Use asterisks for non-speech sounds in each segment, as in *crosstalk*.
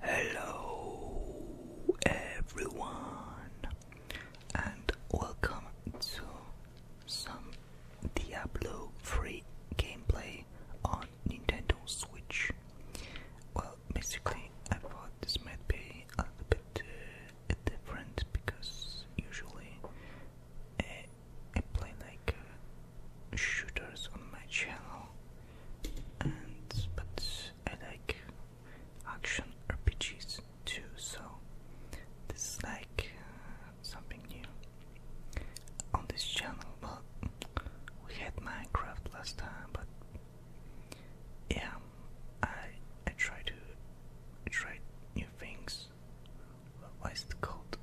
Hello, everyone, and welcome to some Diablo free gameplay on Nintendo Switch. Well, basically, I thought this might be a little bit uh, different because usually uh, I play like uh, shooters on my channel and but I like action RPGs too so this is like uh, something new on this channel well we had Minecraft last time but yeah I I try to try new things. Why is it called?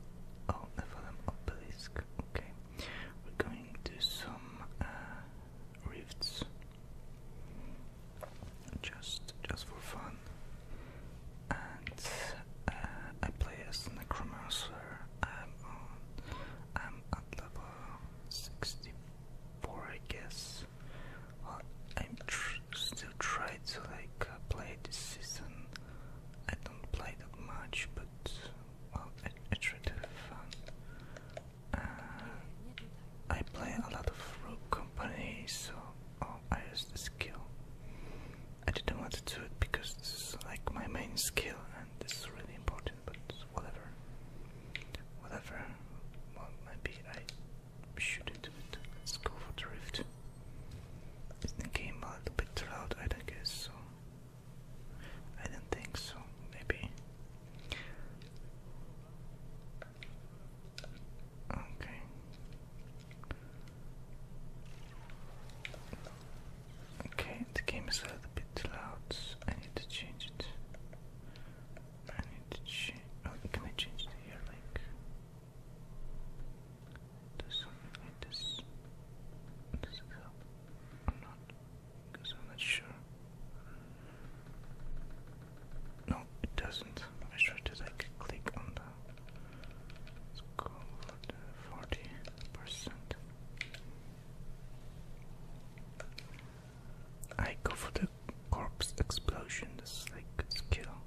Oh, Nephilim Okay. We're going to some uh, rifts, just just for fun. And uh, I play as Necromancer. I'm on. I'm at level sixty-four, I guess. I'm still trying to like uh, play this season. I don't play that much, but well, it's really fun. I play a lot of Rogue companies, so oh, I use this skill. I didn't want to do it because this is like my main skill and this is really important, but whatever. Whatever. Well, maybe I shouldn't do it. Let's go for Drift. Is the game a little bit loud? I don't guess so. I didn't think so, maybe. Okay. Okay, the game is a little bit loud. I need to change it. I need to change. Oh, can I change the ear link? does something like this help or Because I'm not sure. No, it doesn't. I tried to like click on the let go for the forty percent. I go for the corpse explosion, this like skill.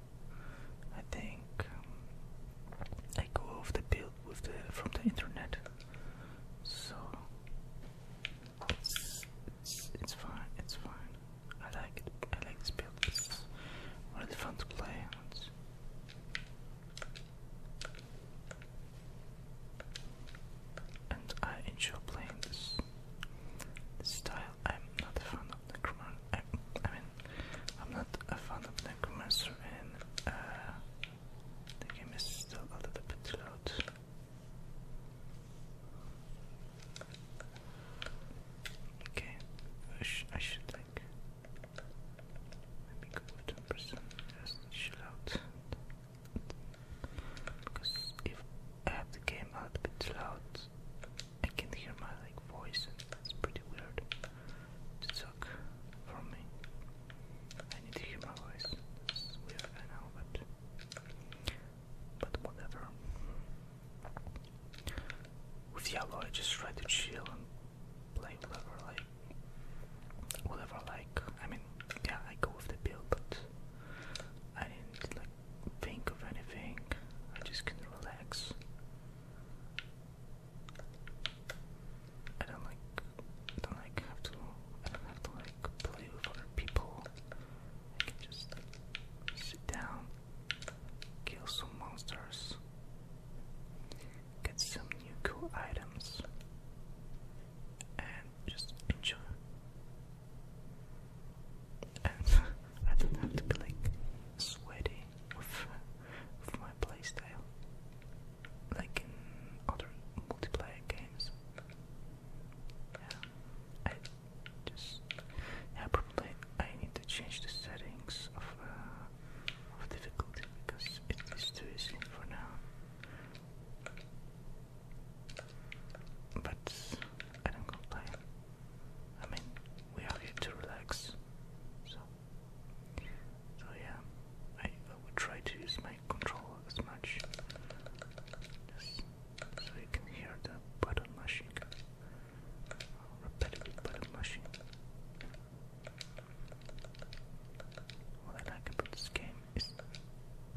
I think um, I go off the build with the from the internet, so it's it's, fine. It's fine. I like it. I like this build. It's really fun to play. and I enjoy playing this, style. I'm not a fan of Necromon. i I'm I'm not a fan of Necromancer and uh, the game is still a little bit loud. Okay, I, should like maybe go to ten percent just chill out because if I have the game a little bit loud, I can hear my like voice and pretty weird to talk for me. I need to hear my voice. It's weird, I know, but but whatever. With yellow, I just try to chill and play whatever, like whatever, like I mean, yeah, I go with the bill, but I didn't like think of anything. I just can relax. I don't like I don't like have to I don't have to like play with other people. I can just sit down, kill some monsters, get some new cool items and just enjoy. And *laughs* I don't have to be like sweaty with, my playstyle, like in other multiplayer games. Yeah, I just yeah probably I need to change the settings of uh, of difficulty because it is too easy for now. But I don't complain. I mean, we are here to relax, so so yeah, I, I would try to use my controller as much just so you can hear the button mashing, repetitive button mashing. What I like about this game is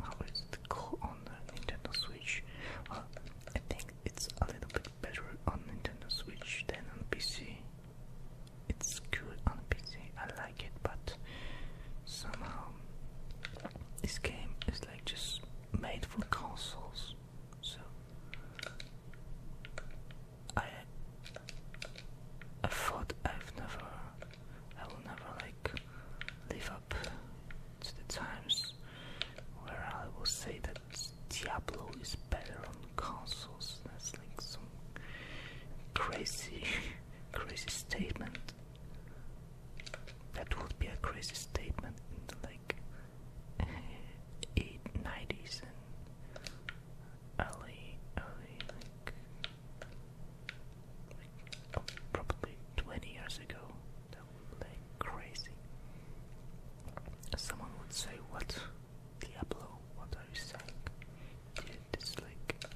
how it's cool on Nintendo Switch. I think it's a little bit better on Nintendo Switch than on PC it's cool on PC. I like it, but somehow this game is like just made for consoles. So I I thought I've never I will never like live up to the times where I will say that Diablo is better on consoles. That's like some crazy, *laughs* crazy statement. That would be a crazy statement in the like *laughs* eight nineties and early, early like, probably twenty years ago. That would be like crazy. Someone would say, "What? Diablo, what are you saying? Dude, it's like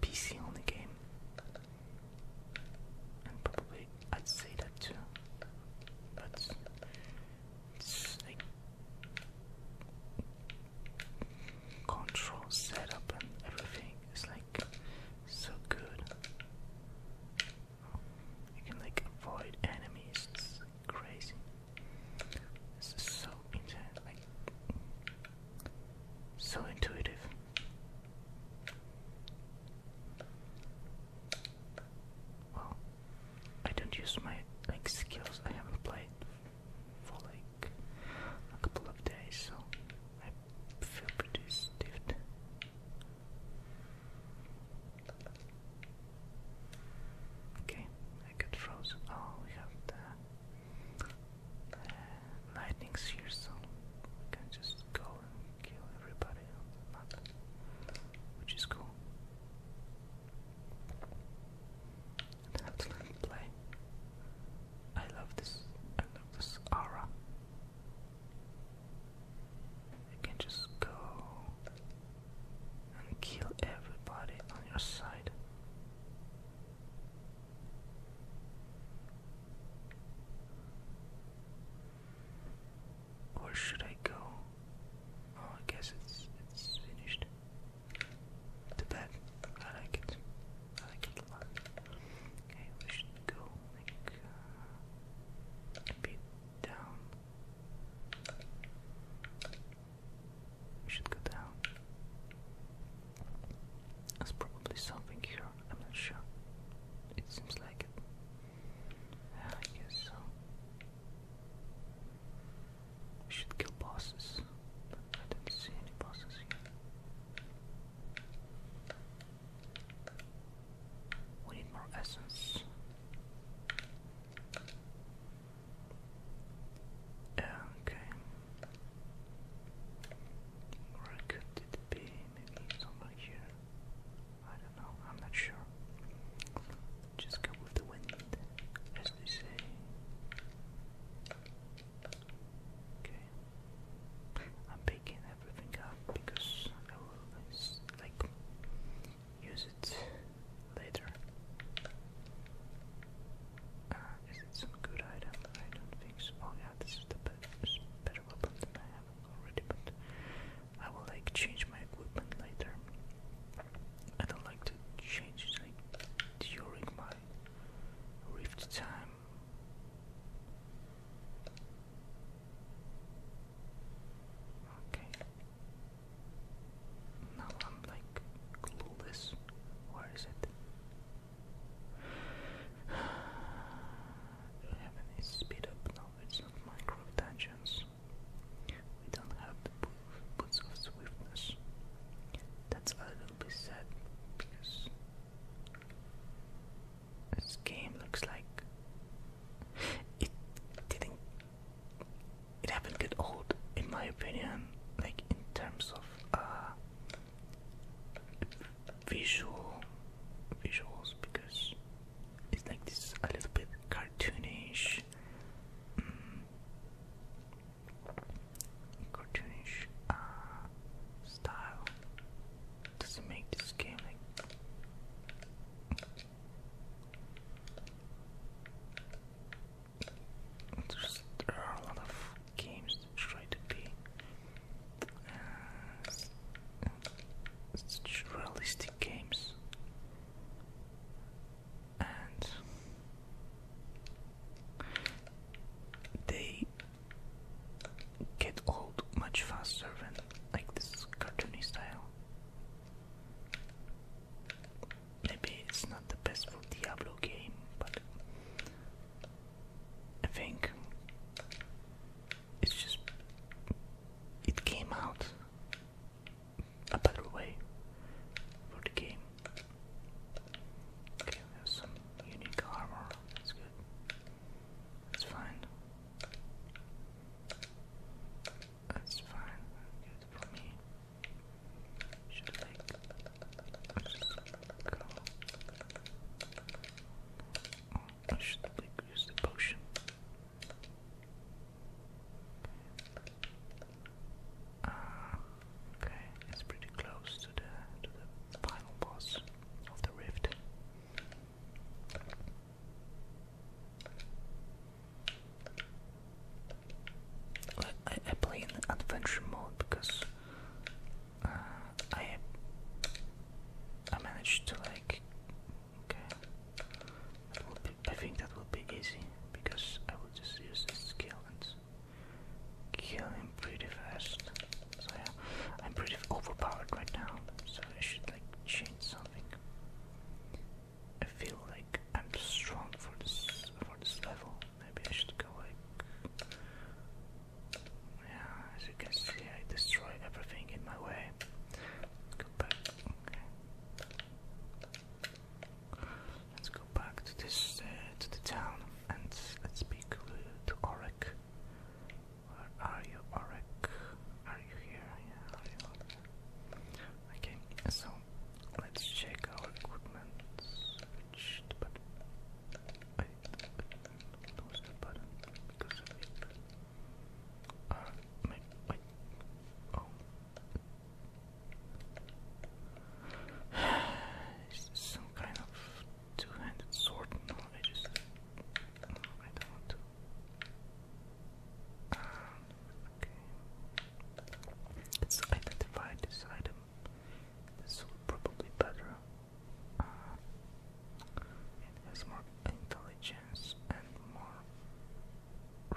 PC only game. And probably I'd say that too. But it's like control setup and everything is like so good. You can like avoid enemies. crazy. This is so intense, like so intuitive. Well, I don't use my like skills. I haven't played for like a couple of days, so I feel pretty stiffed. Okay, I got frozen. Oh, we have the uh, lightnings we can just go and kill everybody which is cool. let it play. I love this. I love this aura. You can just go and kill everybody on your side. Where should I go? Oh, I guess it's it's finished. The bed. I like it. I like it a lot. Okay, we should go like uh, down we should go down. There's probably something here, I'm not sure. It seems like it. I guess so. We should kill bosses, I didn't see any bosses here. We need more essence. Okay. Where could it be? somewhere here. I don't know. I'm not sure. Just go with the wind, as they say. Okay. I'm picking everything up because I will like use it later. Uh, is it some good item? I don't think Oh yeah, this is the better, better weapon than I have already, but I will like change my equipment later. I don't like to change during my rift time. Okay. Now I'm like clueless. Where is it? We *sighs* have any speed up? No, it's not microtensions. We don't have the boots of swiftness. That's a little bit sad because this game looks like it didn't. It happened get old, in my opinion. Like in terms of uh, visual visuals, because it's like this a little bit cartoonish. Mm, cartoonish uh, style doesn't make this game like there are a lot of games that try to be uh, realistic games, and they get old much faster than like this cartoony style. Maybe it's not the best for Diablo game, but I think it's just it came out a better way for the game. Okay, some unique armor, that's good. That's fine. That's fine. Good for me. Should like go. Oh, should like use the potion. Uh, okay, it's pretty close to the to the final boss of the rift. I, play in adventure mode because uh, I I managed to like I think that will be easy because I will just use this skill and kill him pretty fast so yeah I'm pretty overpowered right now so I should like change something. I feel like I'm strong for this for this level. Maybe I should go like yeah. As you can see, I destroy everything in my way. Go back. Okay. Let's go back to this uh, to the town and let's speak to Orek are you, Orek? Are you here? Yeah, Okay, so let's check our equipment. Which button? I lose the button because of it. Uh, maybe, wait. Oh. *sighs* some kind of two-handed sword? No, I just. No, I don't Let's identify this item. This will probably better. it has more intelligence and more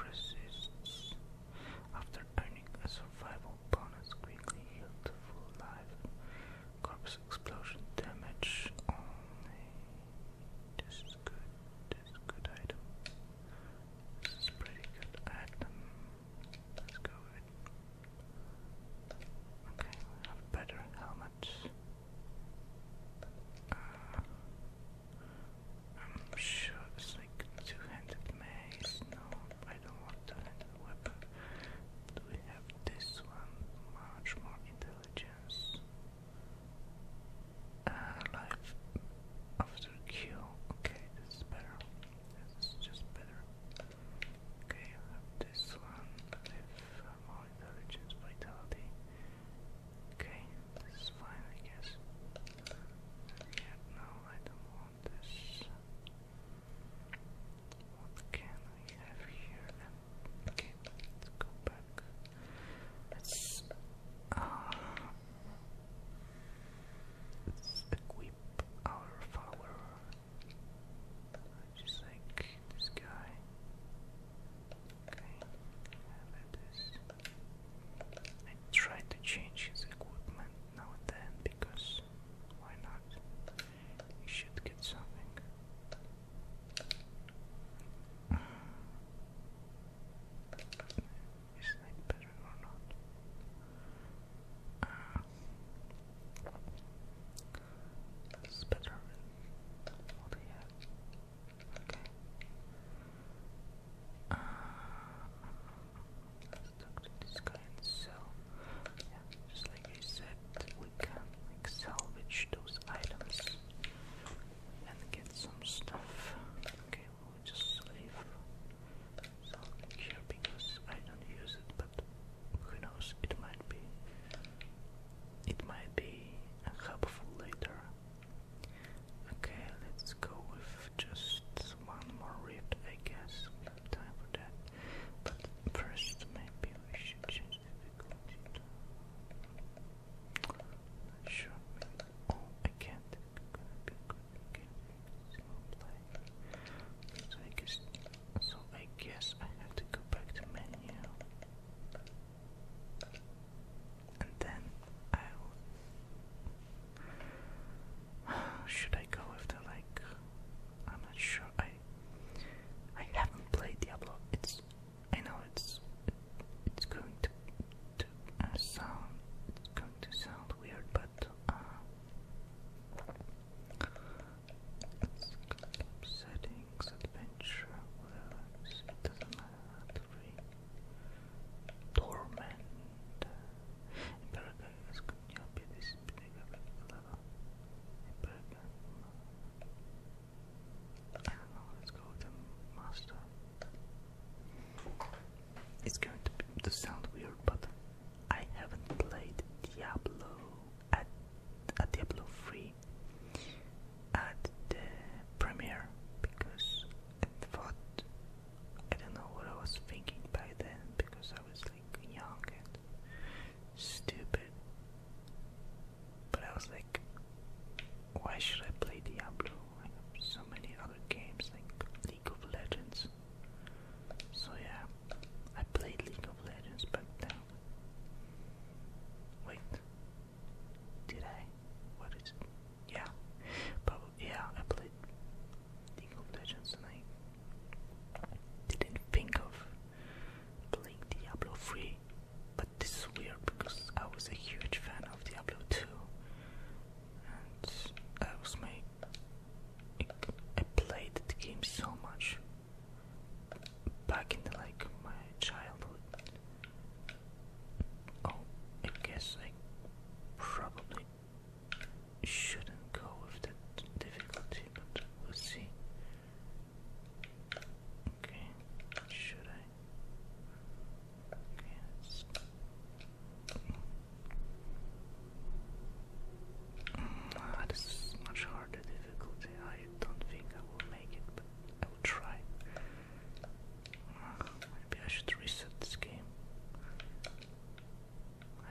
resists. After earning a survival bonus, quickly healed to full life. Corpse explosion damage only this is good. This is good item. This is pretty good item. Let's go with Okay, we have better helmets. Uh, I'm sure it's like two-handed mace. No, I don't want two-handed weapon. Do we have this one? Much more intelligent. Yes. Uh, life after Q. Okay, this is better. This is just better. Okay, I have this one. Live intelligence, vitality. Okay, this is fine, I guess. Yeah, no, I don't want this. What can I have here? Okay, let's go back. Let's, uh, equip our flower. Just like this guy. Okay, let this. I tried to change his equipment now and then because why not? You should get something. Is that better or not? Uh, it's better than what he has. Okay. Uh, let's talk to this guy and Yeah, like I said, we can salvage those items and get some stuff. Okay, we'll just leave something here because I don't use it, but who knows? It might be. It might be helpful later. Okay, let's go with just one more rift, I guess. We have time for that. But first, maybe we should change not sure, Oh, I can't. So I guess. So I guess I have to go back to menu, and then I'll. Should I go after like? I'm not sure. I I haven't played Diablo. It's I know it's it's going to to uh, sound going to sound weird, but uh, settings, adventure, It doesn't matter. Three. I don't know, let's the master. It's going to, to sound weird, but I haven't played Diablo at, at Diablo 3 at the premiere because I thought I don't know what I was thinking by then because I was young and stupid. But I was like, why should I play Diablo? I have so many other games like League of Legends. So yeah, I played League of Legends back then. Wait, did I? What is it? Yeah, probably. Yeah, I played League of Legends and I didn't think of playing Diablo 3, but this is weird because I was a huge fan of Diablo 2, and I was my I played the game so much back in like my childhood. Oh, I guess I probably shouldn't go with that difficulty, but we'll see. Okay, should I? Yes. Mm, ah, much harder difficulty. I don't think I will make it, but I will try. Ah, maybe I should reset this game.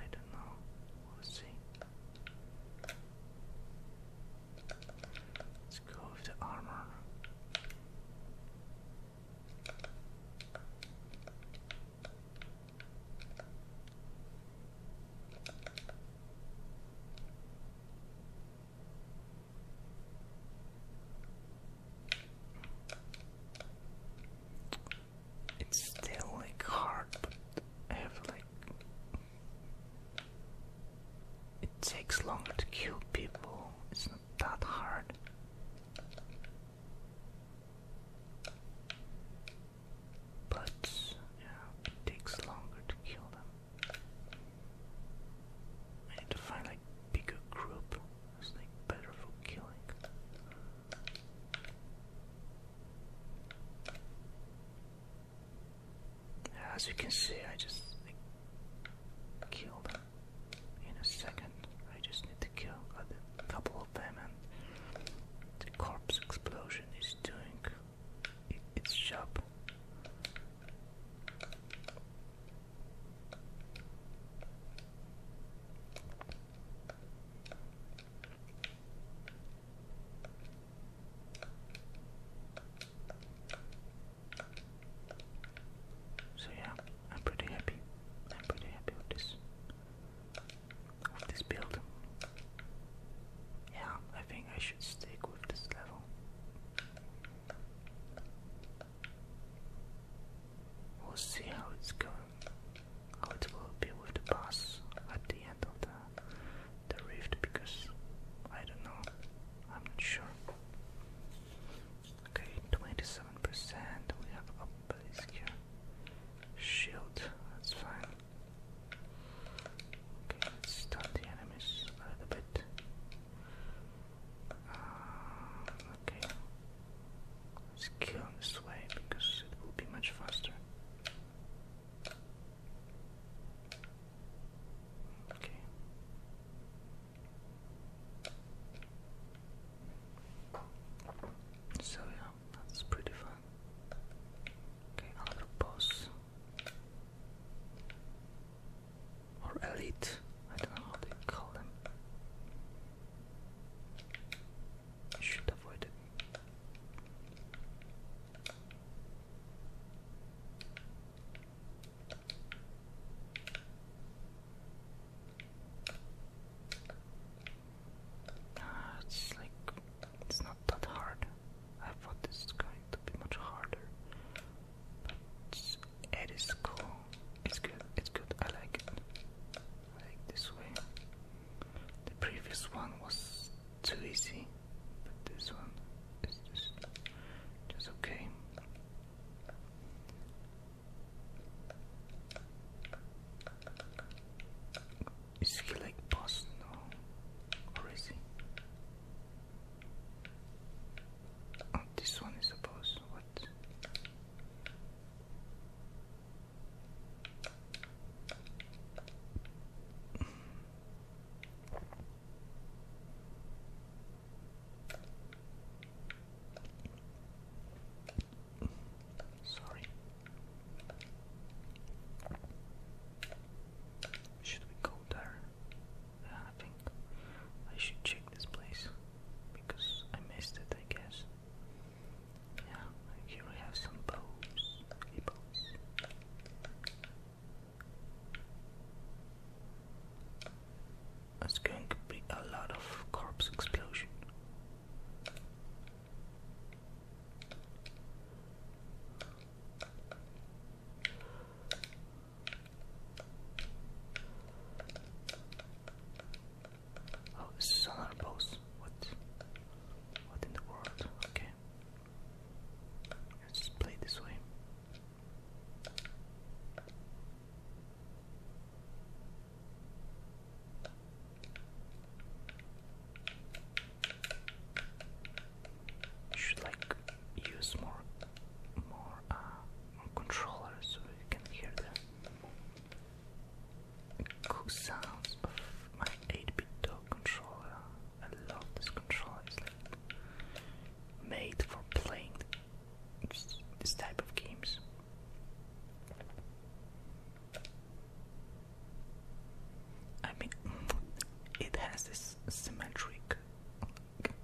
I don't know. We'll see. Let's go with armor. It's still like hard, but I have like it takes longer to kill people, it's not that hard. But yeah, it takes longer to kill them. I need to find like bigger group. It's like better for killing. As you can see, I just killed them in a second. I just need to kill a couple of them, and the corpse explosion is doing it, its job. So yeah, I'm pretty happy. I'm pretty happy with this with this build. Yeah, I think I should stick with this level. We'll see how it's going how it will be with the boss at the end of the, the rift because I don't know, I'm not sure. Okay, 27%, we have up base here. Shield, that's fine. Okay, let's stun the enemies a little bit. Um, okay, let's kill them this way because it will be much faster. So yeah, that's pretty fun. Okay, another boss. Or elite. I don't know how they call them. should avoid it it's like it's not that hard. I thought this is going to be much harder. But it is cool. It's good. It's good. I like it. I like this way. The previous one was too easy, but this one is just, okay. Is he like boss now? Or is he? Oh, this one is a boss. What? Sorry. Should we go there? Yeah, I think I should check this place because I missed it, I guess. Yeah, here we have some bows. Hippos. going to be a lot of corpse explosion. Oh, this is another post. What? What in the world? Okay. Let's play this way. You should like use more, more, uh, controllers so you can hear the Cool sounds of my 8-bit dog controller. I love this controller. made for playing this type of games. I mean, *laughs* it has this symmetric. Okay,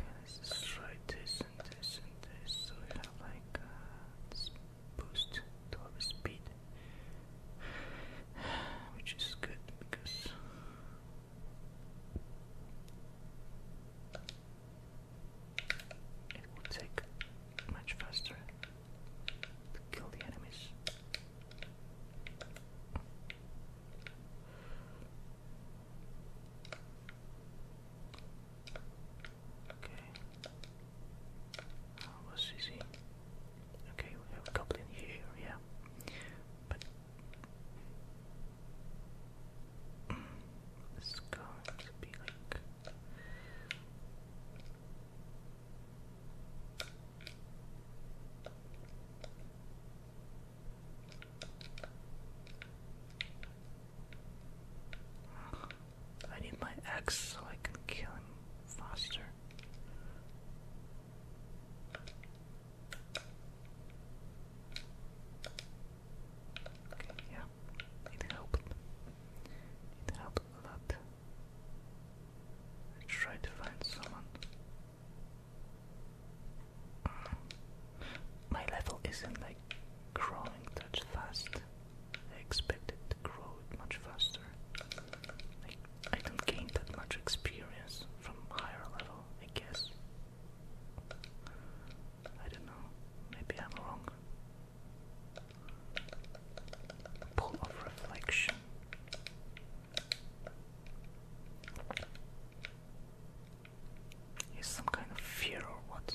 try this and this and this. So we have like uh, boost to our speed, which is good because it will take much faster to kill the enemies. Okay. Oh, what's this Okay, we have a couple in here, yeah. But it's going to be like I need my axe so I can kill him faster. yeah, need help. Need help a lot. I try to find someone. My level isn't like growing that fast. I expected to grow much faster. I, don't gain that much experience from higher level, I guess. I don't know, maybe I'm wrong. Pull of reflection. Is some kind of fear what?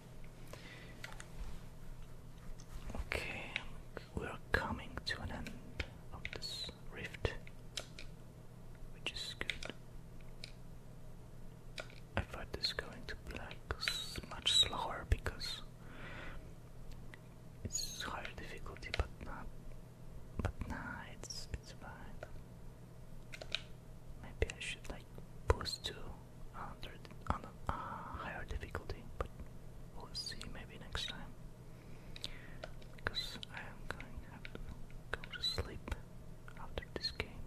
Okay, we are coming to an end of this rift, which is good. I thought this going to black much slower because it's higher difficulty, but not. But nah, it's it's fine. Maybe I should like boost to hundred on a uh, higher difficulty, but we'll see maybe next time. Because I am going to go to sleep after this game.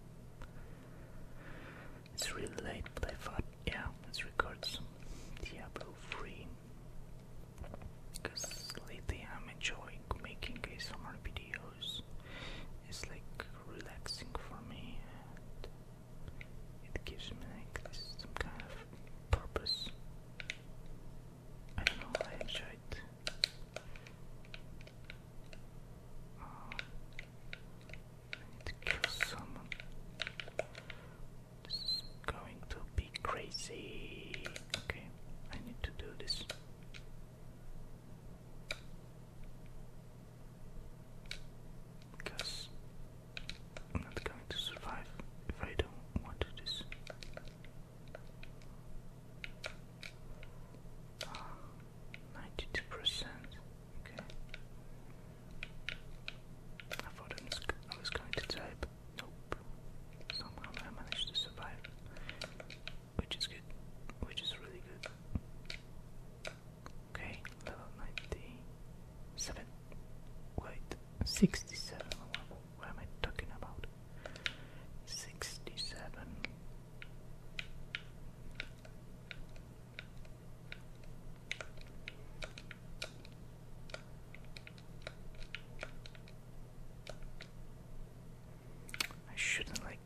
It's really late, but I thought, yeah, let's record some Diablo 3. Because lately I'm enjoying making some more videos it's like relaxing for me it gives me like some kind of purpose. I don't know, I enjoy it. Uh, I someone. This going to be crazy. Okay, I need to do this. Because I'm not going to survive if I don't want to do this. Ah, ninety-two percent. Okay. I thought I was, going to die, nope. Somehow I managed to survive which is good, which is really good. Okay, level 97. Wait, 67. What am I talking about? 67. I shouldn't like.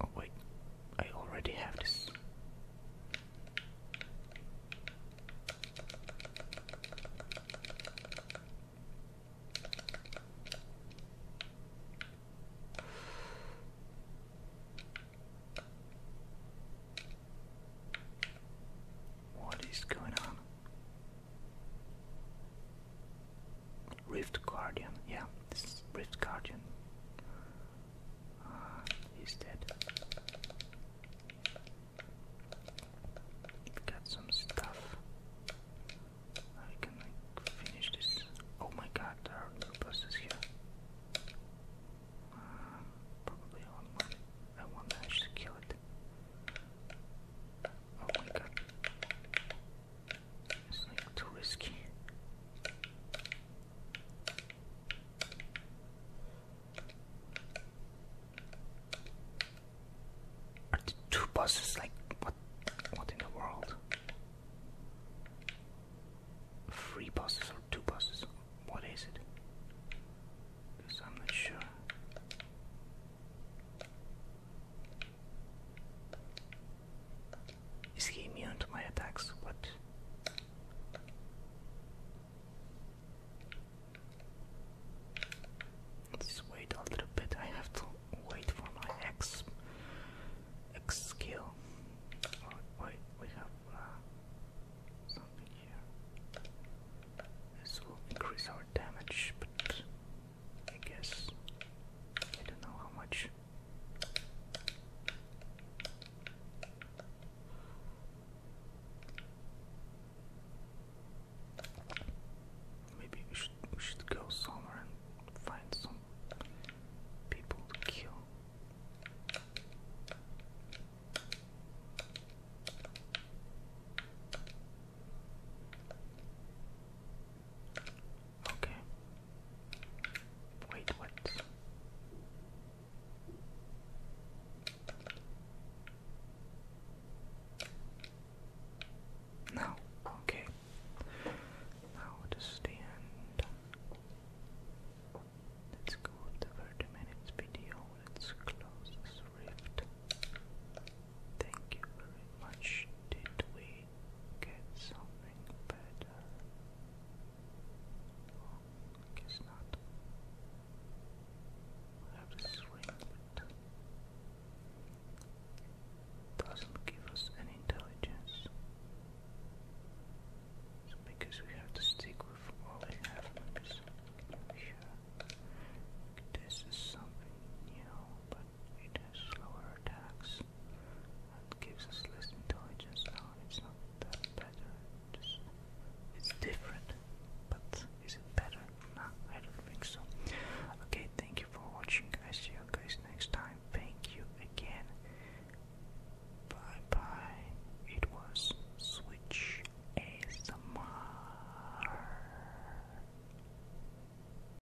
Oh wait, I already have this. What is going on? Rift Guardian, yeah, this is Rift Guardian. Uh, he's dead. got some stuff. I can finish this. Oh my god, there are no bosses here. Uh, probably one. I won't manage kill it. Oh my god like too risky. Are the two buses like what? What in the world? Three buses or two buses? What is it? I'm not sure. Is he immune to my attacks? What? Let's wait a little bit. I have to wait for my X X skill. Oh, wait, we have uh, something here. This will increase our damage, but I guess. I don't know how much. Maybe we should we should go somewhere and find some people to kill. Okay. Wait, what? No. Okay. Now to stand. Let's go with the 30 minutes video. Let's close rift. Thank you very much. Did we get something better. Oh, I not. have to swing, doesn't give us any intelligence. because we have to stick with what we This is something new, but it has slower attacks and gives us less intelligence now. It's not that better. Just, it's different, but is it better? No, I don't think so. Okay, thank you for watching. I see you guys next time. Thank you again. Bye bye. It was Switch ASMR.